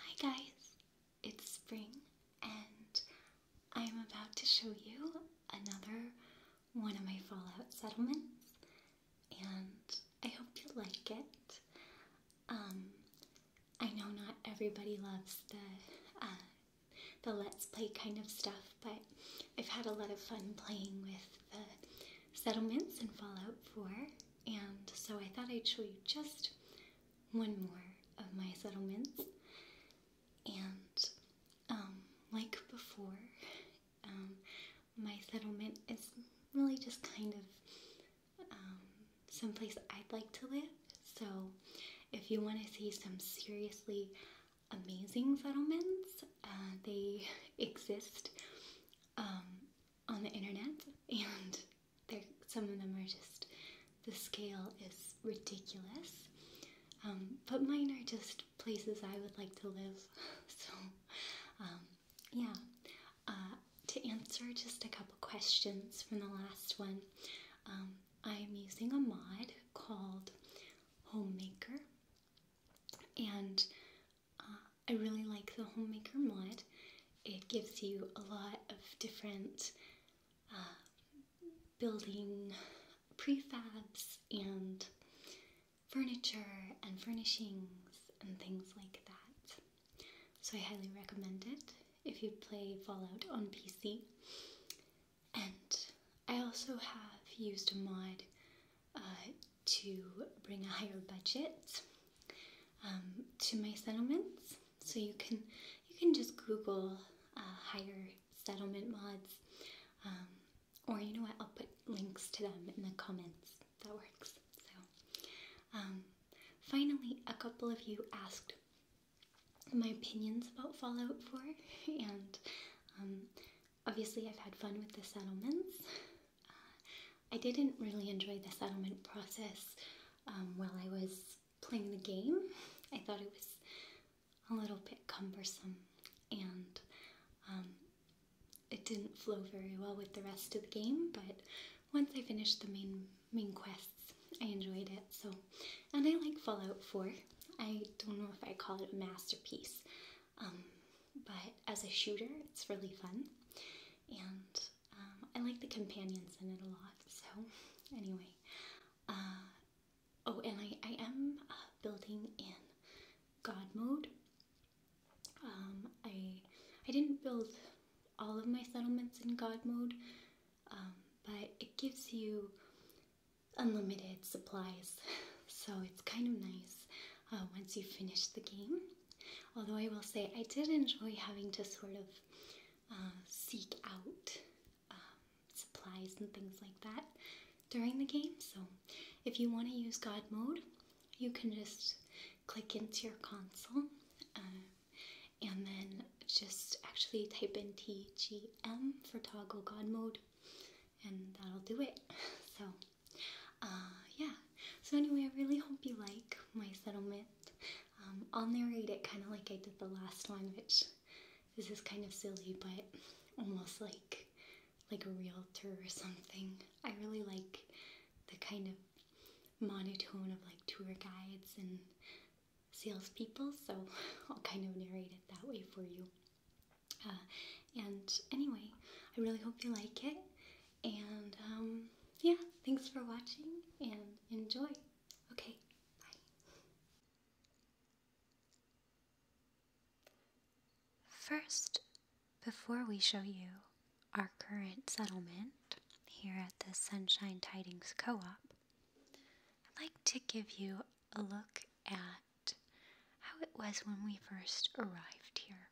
Hi guys, it's Spring and I'm about to show you another one of my Fallout settlements and I hope you like it. Um, I know not everybody loves the, uh, the let's play kind of stuff but I've had a lot of fun playing with the settlements in Fallout 4 and so I thought I'd show you just one more of my settlements. And um, like before, um, my settlement is really just kind of um, some place I'd like to live. So if you want to see some seriously amazing settlements, uh, they exist on the internet, and some of them are just the scale is ridiculous. Um, but mine are just places I would like to live. so, um, yeah. Uh, to answer just a couple questions from the last one, um, I'm using a mod called Homemaker. And I really like the Homemaker mod. It gives you a lot of different uh, building prefabs and furniture and furnishings and things like that. So I highly recommend it if you play Fallout on PC. And I also have used a mod uh, to bring a higher budget um, to my settlements. So you can you can just Google uh, higher settlement mods, um, or you know what? I'll put links to them in the comments. That works. So um, finally, a couple of you asked my opinions about Fallout 4, and obviously I've had fun with the settlements. I didn't really enjoy the settlement process um, while I was playing the game. I thought it was a little bit cumbersome and um, it didn't flow very well with the rest of the game, but once I finished the main main quests, I enjoyed it. So, and I like Fallout 4. I don't know if I call it a masterpiece, um, but as a shooter, it's really fun, and um, I like the companions in it a lot. So, anyway, uh, oh, and I, I am uh, building in God mode. Um, I I didn't build all of my settlements in God mode, but it gives you unlimited supplies, so it's kind of nice. Uh, once you finish the game. Although I will say I did enjoy having to sort of uh, seek out um, supplies and things like that during the game. So if you want to use God mode, you can just click into your console uh, and then just actually type in TGM for toggle God mode and that'll do it. So uh, yeah. So anyway, I really hope you like my settlement. Um, I'll narrate it kind of like I did the last one, which this is kind of silly, but almost like like a realtor or something. I really like the kind of monotone of like tour guides and salespeople, so I'll kind of narrate it that way for you. Uh, and anyway, I really hope you like it, and um, yeah, thanks for watching and enjoy. Okay, bye. First, before we show you our current settlement here at the Sunshine Tidings Co op, I'd like to give you a look at how it was when we first arrived here.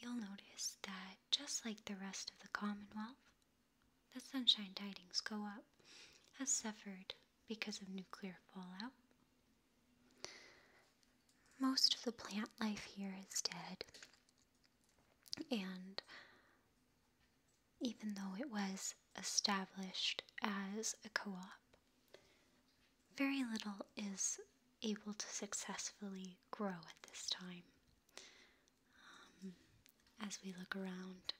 You'll notice that just like the rest of the Commonwealth, the Sunshine Tidings go up has suffered because of nuclear fallout. Most of the plant life here is dead, and even though it was established as a co op, very little is able to successfully grow at this time. Um, as we look around,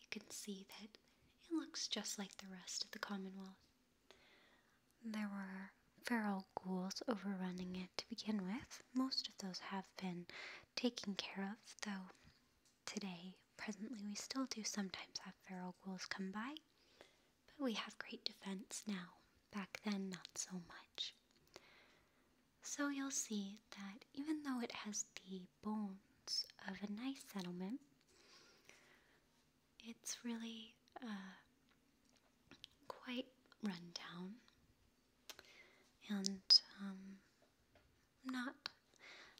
you can see that it looks just like the rest of the Commonwealth. There were feral ghouls overrunning it to begin with. Most of those have been taken care of, though today, presently, we still do sometimes have feral ghouls come by. But we have great defense now. Back then, not so much. So you'll see that even though it has the bones of a nice settlement, it's really uh, quite rundown and um, not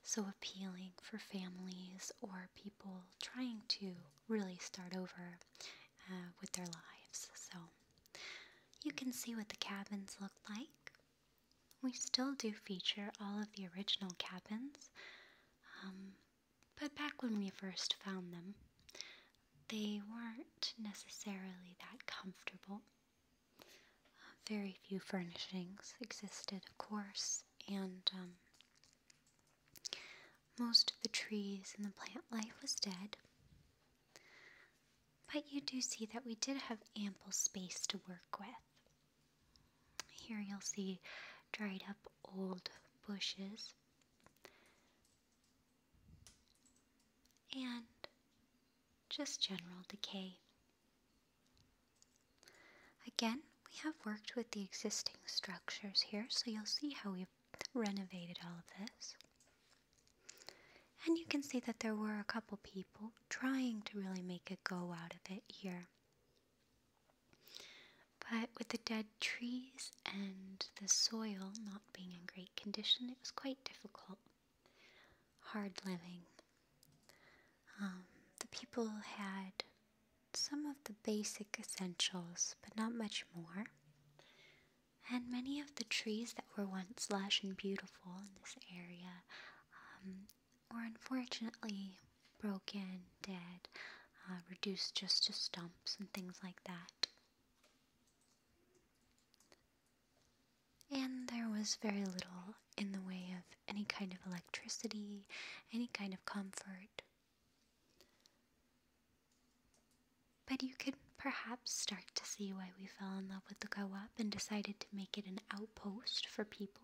so appealing for families or people trying to really start over uh, with their lives. So you can see what the cabins look like. We still do feature all of the original cabins, um, but back when we first found them, they weren't necessarily that comfortable. very few furnishings existed, of course, and um, most of the trees and the plant life was dead. But you do see that we did have ample space to work with. Here you'll see dried up old bushes and just general decay. Again, we have worked with the existing structures here, so you'll see how we've renovated all of this. And you can see that there were a couple people trying to really make a go out of it here. But with the dead trees and the soil not being in great condition, it was quite difficult. Hard living. Um, the people had some of the basic essentials, but not much more. And many of the trees that were once lush and beautiful in this area um, were unfortunately broken, dead, uh, reduced just to stumps and things like that. And there was very little in the way of any kind of electricity, any kind of comfort. But you could perhaps start to see why we fell in love with the Gawap and decided to make it an outpost for people.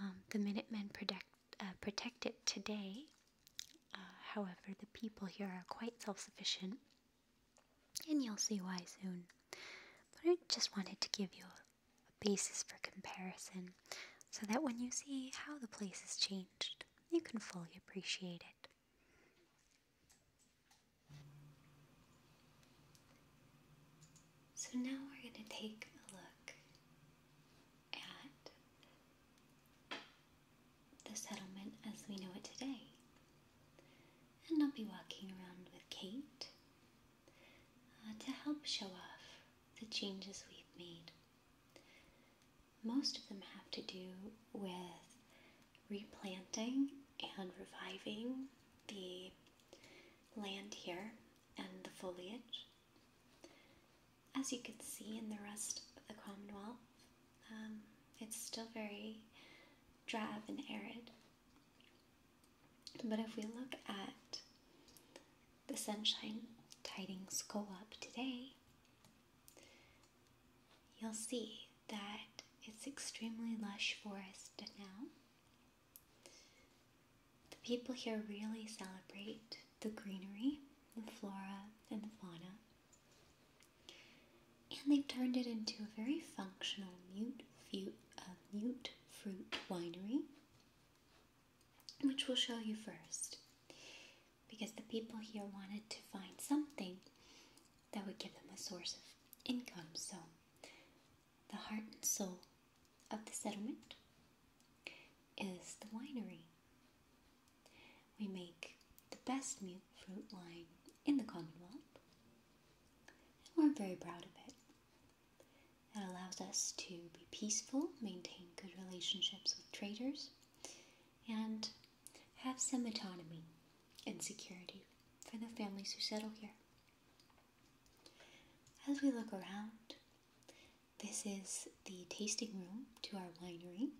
Um, the Minutemen protect, uh, protect it today. Uh, however, the people here are quite self sufficient, and you'll see why soon. But I just wanted to give you a basis for comparison so that when you see how the place has changed, you can fully appreciate it. So now we're going to take a look at the settlement as we know it today. And I'll be walking around with Kate uh, to help show off the changes we've made. Most of them have to do with replanting and reviving the land here and the foliage. As you can see in the rest of the Commonwealth, um, it's still very drab and arid. But if we look at the sunshine tidings go up today, you'll see that it's extremely lush forest now. The people here really celebrate the greenery, the flora, and the fauna. And they've turned it into a very functional mute, uh, mute fruit winery which we'll show you first because the people here wanted to find something that would give them a source of income. So, the heart and soul of the settlement is the winery. We make the best mute fruit wine in the Commonwealth, and we're very proud of it. It allows us to be peaceful, maintain good relationships with traders, and have some autonomy and security for the families who settle here. As we look around, this is the tasting room to our winery.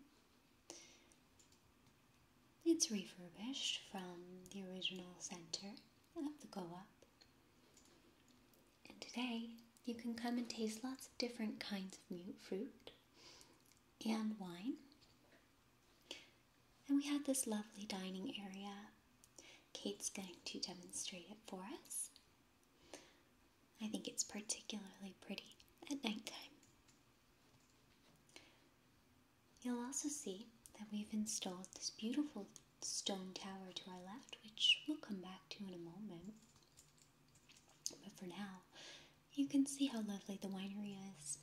It's refurbished from the original center of the Goa and today, you can come and taste lots of different kinds of mute fruit and wine. And we have this lovely dining area. Kate's going to demonstrate it for us. I think it's particularly pretty at nighttime. You'll also see that we've installed this beautiful stone tower to our left, which we'll come back to in a moment. But for now, you can see how lovely the winery is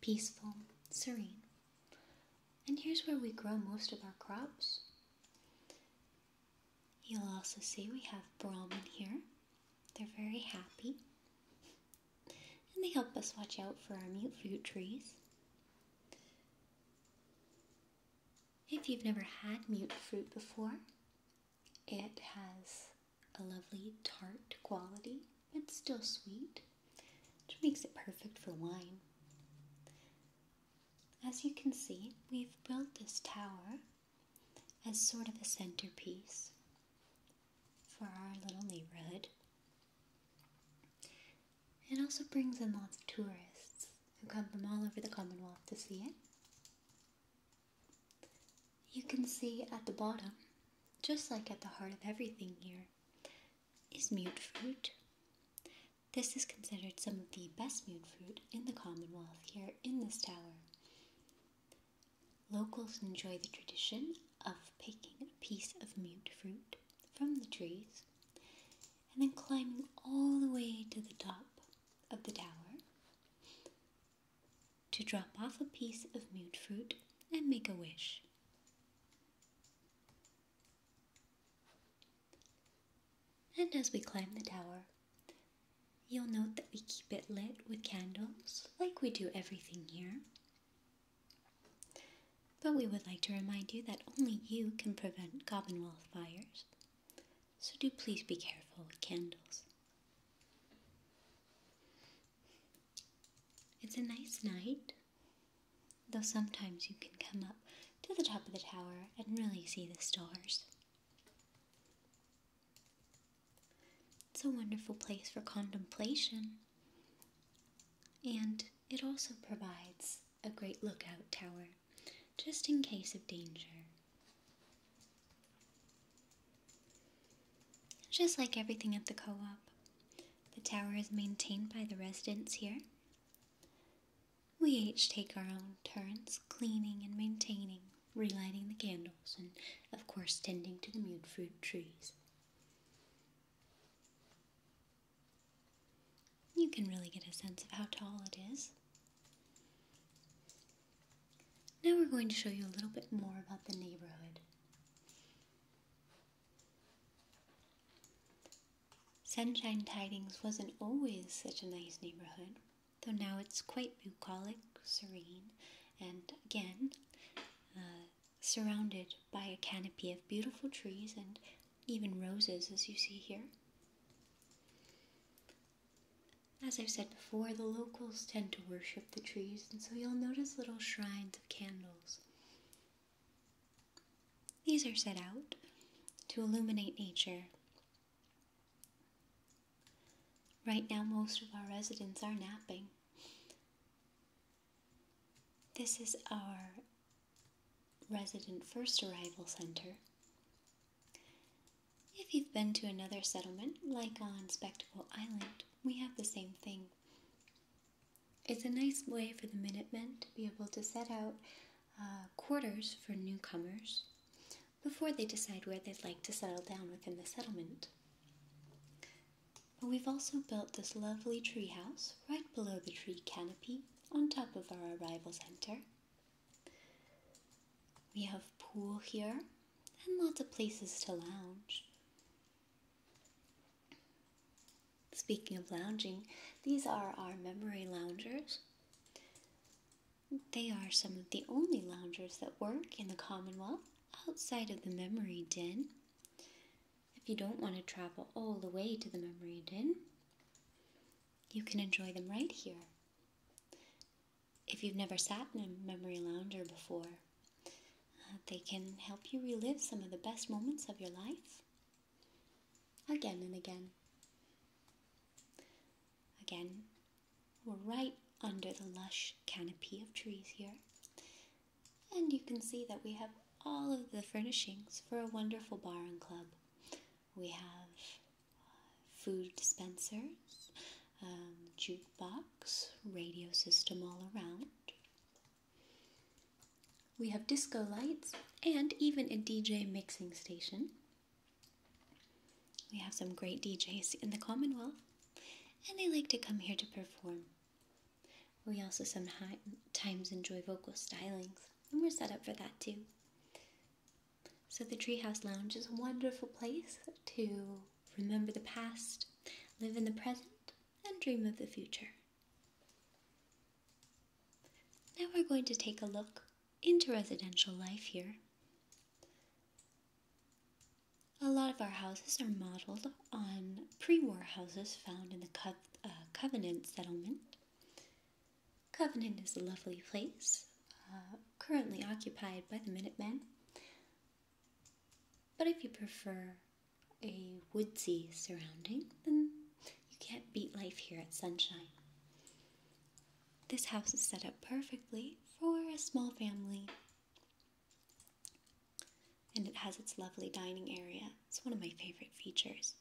peaceful, serene. And here's where we grow most of our crops. You'll also see we have Brahman here. They're very happy. And they help us watch out for our mute fruit trees. If you've never had mute fruit before, it has a lovely tart quality, but still sweet, which makes it perfect for wine. As you can see, we've built this tower as sort of a centerpiece for our little neighborhood. It also brings in lots of tourists who come from all over the Commonwealth to see it. You can see at the bottom, just like at the heart of everything here, is mute fruit. This is considered some of the best mute fruit in the Commonwealth here in this tower. Locals enjoy the tradition of picking a piece of mute fruit from the trees and then climbing all the way to the top of the tower to drop off a piece of mute fruit and make a wish. And as we climb the tower, you'll note that we keep it lit with candles like we do everything here. But we would like to remind you that only you can prevent Commonwealth fires, so do please be careful with candles. It's a nice night, though sometimes you can come up to the top of the tower and really see the stars. It's a wonderful place for contemplation and it also provides a great lookout tower, just in case of danger. Just like everything at the co op, the tower is maintained by the residents here. We each take our own turns cleaning and maintaining, relighting the candles, and of course tending to the mute fruit trees. You can really get a sense of how tall it is. Now we're going to show you a little bit more about the neighborhood. Sunshine Tidings wasn't always such a nice neighborhood, though now it's quite bucolic, serene, and again, uh, surrounded by a canopy of beautiful trees and even roses, as you see here. As I've said before, the locals tend to worship the trees, and so you'll notice little shrines of candles. These are set out to illuminate nature. Right now, most of our residents are napping. This is our Resident First Arrival Center. If you've been to another settlement, like on Spectacle Island, we have the same thing. It's a nice way for the Minutemen to be able to set out uh, quarters for newcomers before they decide where they'd like to settle down within the settlement. But we've also built this lovely treehouse right below the tree canopy on top of our arrival center. We have pool here and lots of places to lounge. Speaking of lounging, these are our memory loungers. They are some of the only loungers that work in the Commonwealth outside of the memory den. If you don't want to travel all the way to the memory inn, you can enjoy them right here. If you've never sat in a memory lounger before, uh, they can help you relive some of the best moments of your life again and again. Again, we're right under the lush canopy of trees here, and you can see that we have all of the furnishings for a wonderful bar and club. We have uh, food dispensers, um, jukebox, radio system all around. We have disco lights and even a DJ mixing station. We have some great DJs in the Commonwealth, and they like to come here to perform. We also sometimes enjoy vocal stylings, and we're set up for that too. So, the Treehouse Lounge is a wonderful place to remember the past, live in the present, and dream of the future. Now we're going to take a look into residential life here. A lot of our houses are modeled on pre war houses found in the uh, Covenant settlement. Covenant is a lovely place, uh, currently occupied by the Minutemen. But if you prefer a woodsy surrounding, then you can't beat life here at Sunshine. This house is set up perfectly for a small family and it has its lovely dining area. It's one of my favorite features.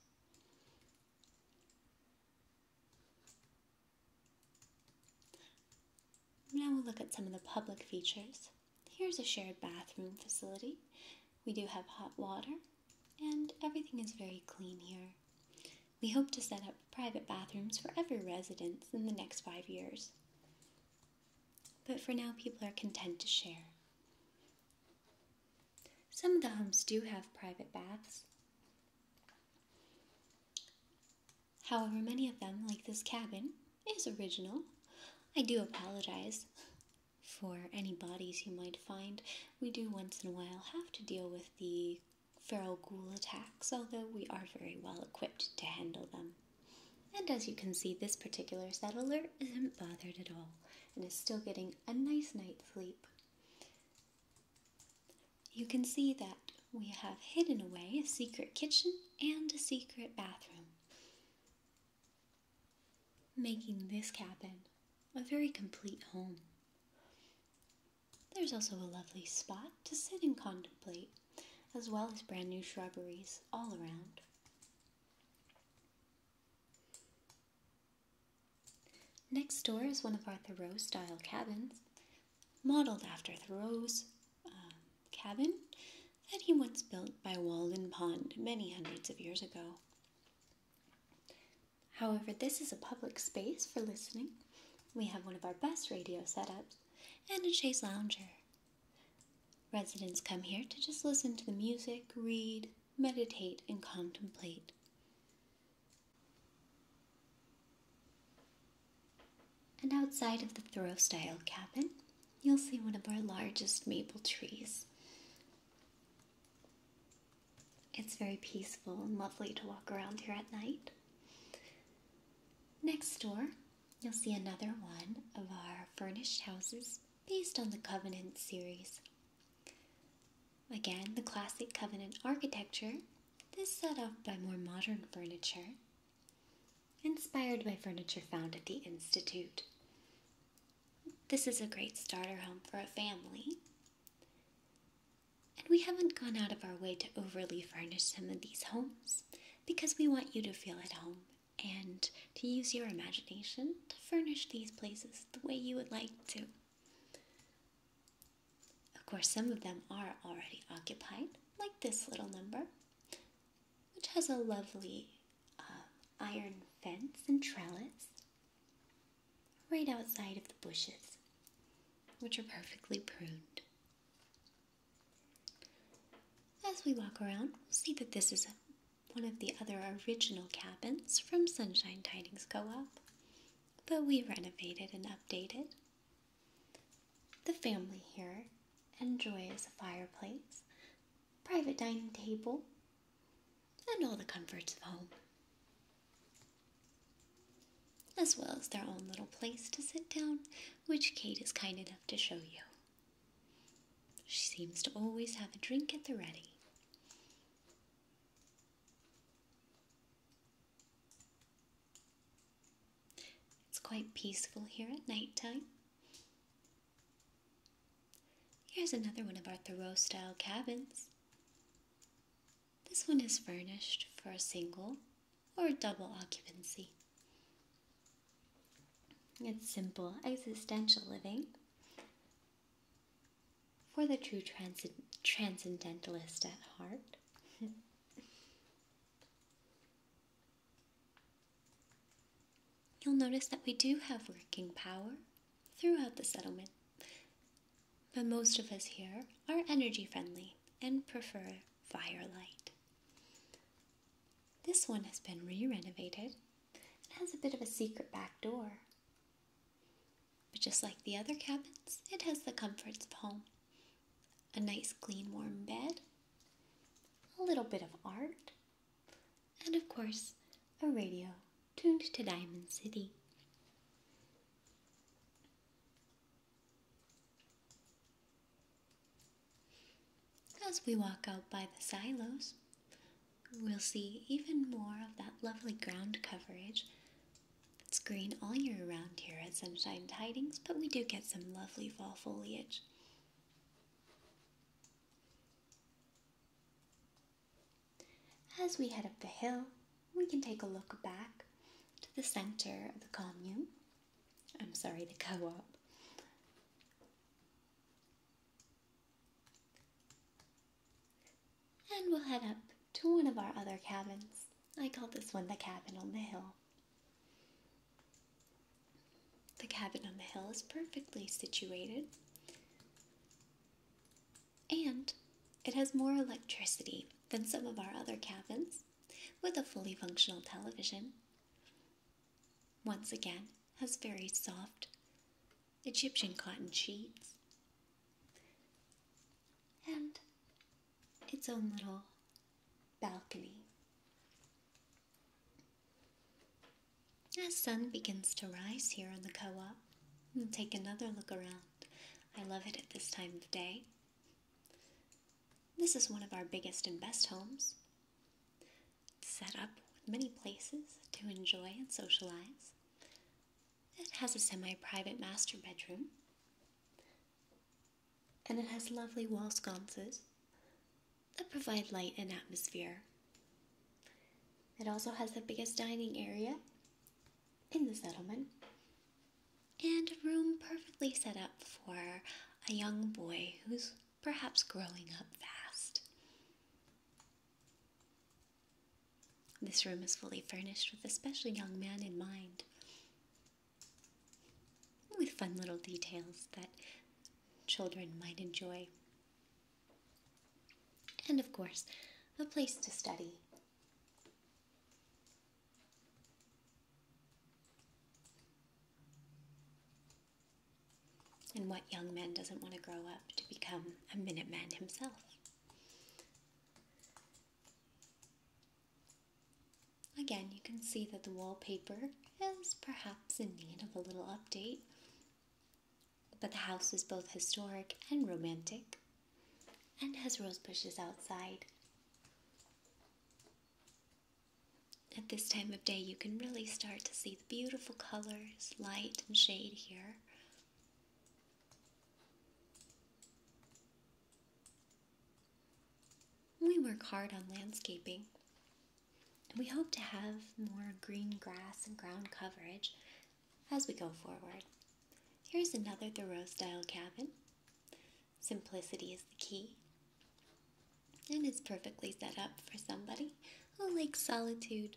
Now we'll look at some of the public features. Here's a shared bathroom facility. We do have hot water, and everything is very clean here. We hope to set up private bathrooms for every resident in the next five years. But for now, people are content to share. Some of the homes do have private baths. However, many of them, like this cabin, is original. I do apologize for any bodies you might find. We do once in a while have to deal with the feral ghoul attacks, although we are very well equipped to handle them. And as you can see, this particular settler isn't bothered at all and is still getting a nice night's sleep. You can see that we have hidden away a secret kitchen and a secret bathroom, making this cabin a very complete home. There's also a lovely spot to sit and contemplate, as well as brand new shrubberies all around. Next door is one of our Thoreau style cabins, modeled after Thoreau's um, cabin that he once built by Walden Pond many hundreds of years ago. However, this is a public space for listening. We have one of our best radio setups and a chaise lounger. Residents come here to just listen to the music, read, meditate, and contemplate. And outside of the Thoreau style cabin, you'll see one of our largest maple trees. It's very peaceful and lovely to walk around here at night. Next door, you'll see another one of our furnished houses based on the Covenant series. Again, the classic Covenant architecture, this set off by more modern furniture, inspired by furniture found at the Institute. This is a great starter home for a family. And we haven't gone out of our way to overly furnish some of these homes because we want you to feel at home and to use your imagination to furnish these places the way you would like to. Of course, some of them are already occupied, like this little number, which has a lovely um, iron fence and trellis right outside of the bushes, which are perfectly pruned. As we walk around, we'll see that this is one of the other original cabins from Sunshine Tidings Co op, but we renovated and updated. The family here enjoys a fireplace, private dining table, and all the comforts of home, as well as their own little place to sit down, which Kate is kind enough to show you. She seems to always have a drink at the ready. It's quite peaceful here at night time. Here's another one of our Thoreau style cabins. This one is furnished for a single or double occupancy. It's simple existential living. For the true trans- transcendentalist at heart. You'll notice that we do have working power throughout the settlement, but most of us here are energy friendly and prefer firelight. This one has been re renovated and has a bit of a secret back door. But just like the other cabins, it has the comforts of home a nice, clean, warm bed, a little bit of art, and of course, a radio tuned to Diamond City. As we walk out by the silos, we'll see even more of that lovely ground coverage. It's green all year around here at Sunshine Tidings, but we do get some lovely fall foliage. As we head up the hill, we can take a look back to the center of the commune I'm sorry, the co op. And we'll head up to one of our other cabins. I call this one the cabin on the hill. The cabin on the hill is perfectly situated and it has more electricity than some of our other cabins with a fully functional television once again, has very soft Egyptian cotton sheets and its own little balcony. As sun begins to rise here in the co op, and take another look around. I love it at this time of day. This is one of our biggest and best homes. set up with many places to enjoy and socialize. It has a semi private master bedroom. And it has lovely wall sconces that provide light and atmosphere. It also has the biggest dining area in the settlement and a room perfectly set up for a young boy who's perhaps growing up fast. This room is fully furnished with a special young man in mind, with fun little details that children might enjoy. And of course, a place to study. And what young man doesn't want to grow up to become a Minuteman himself? Again, you can see that the wallpaper is perhaps in need of a little update, but the house is both historic and romantic and has rose bushes outside. At this time of day, you can really start to see the beautiful colors, light, and shade here. We work hard on landscaping, and we hope to have more green grass and ground coverage as we go forward. Here's another Thoreau style cabin. Simplicity is the key. And it's perfectly set up for somebody who likes solitude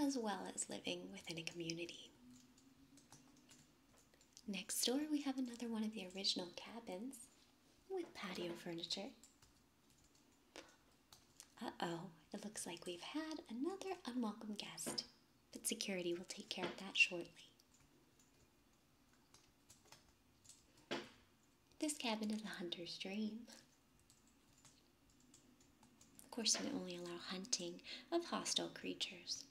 as well as living within a community. Next door, we have another one of the original cabins with patio furniture. Uh oh, it looks like we've had another unwelcome guest, but security will take care of that shortly. This cabin is a hunter's dream. Of course, we only allow hunting of hostile creatures.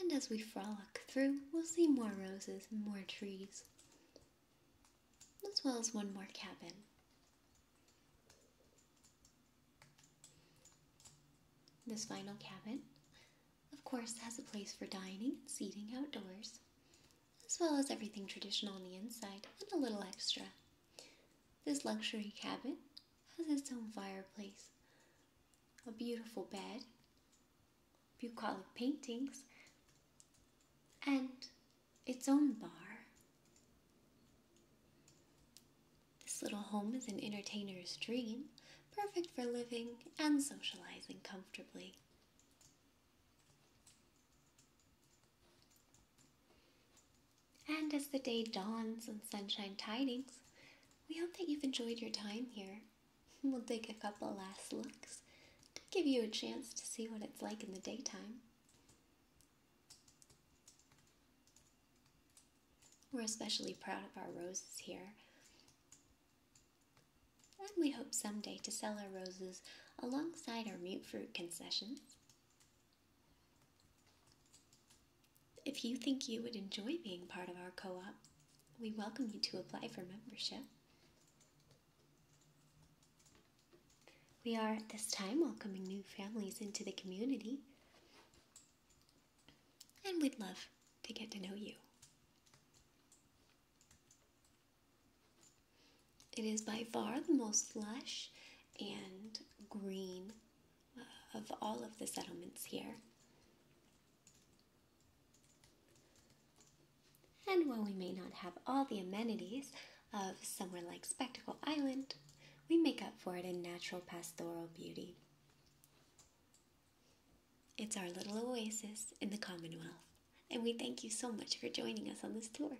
And as we frolic through, we'll see more roses and more trees as well as one more cabin. This final cabin, of course, has a place for dining and seating outdoors, as well as everything traditional on the inside and a little extra. This luxury cabin has its own fireplace, a beautiful bed, bucolic paintings, and its own bar. This little home is an entertainer's dream, perfect for living and socializing comfortably. And as the day dawns on sunshine tidings, we hope that you've enjoyed your time here We'll take a couple last looks to give you a chance to see what it's like in the daytime. We're especially proud of our roses here. And we hope someday to sell our roses alongside our mute fruit concessions. If you think you would enjoy being part of our co op, we welcome you to apply for membership. We are at this time welcoming new families into the community, and we'd love to get to know you. It is by far the most lush and green uh, of all of the settlements here. And while we may not have all the amenities of somewhere like Spectacle Island, we make up for it in natural pastoral beauty. It's our little oasis in the Commonwealth, and we thank you so much for joining us on this tour.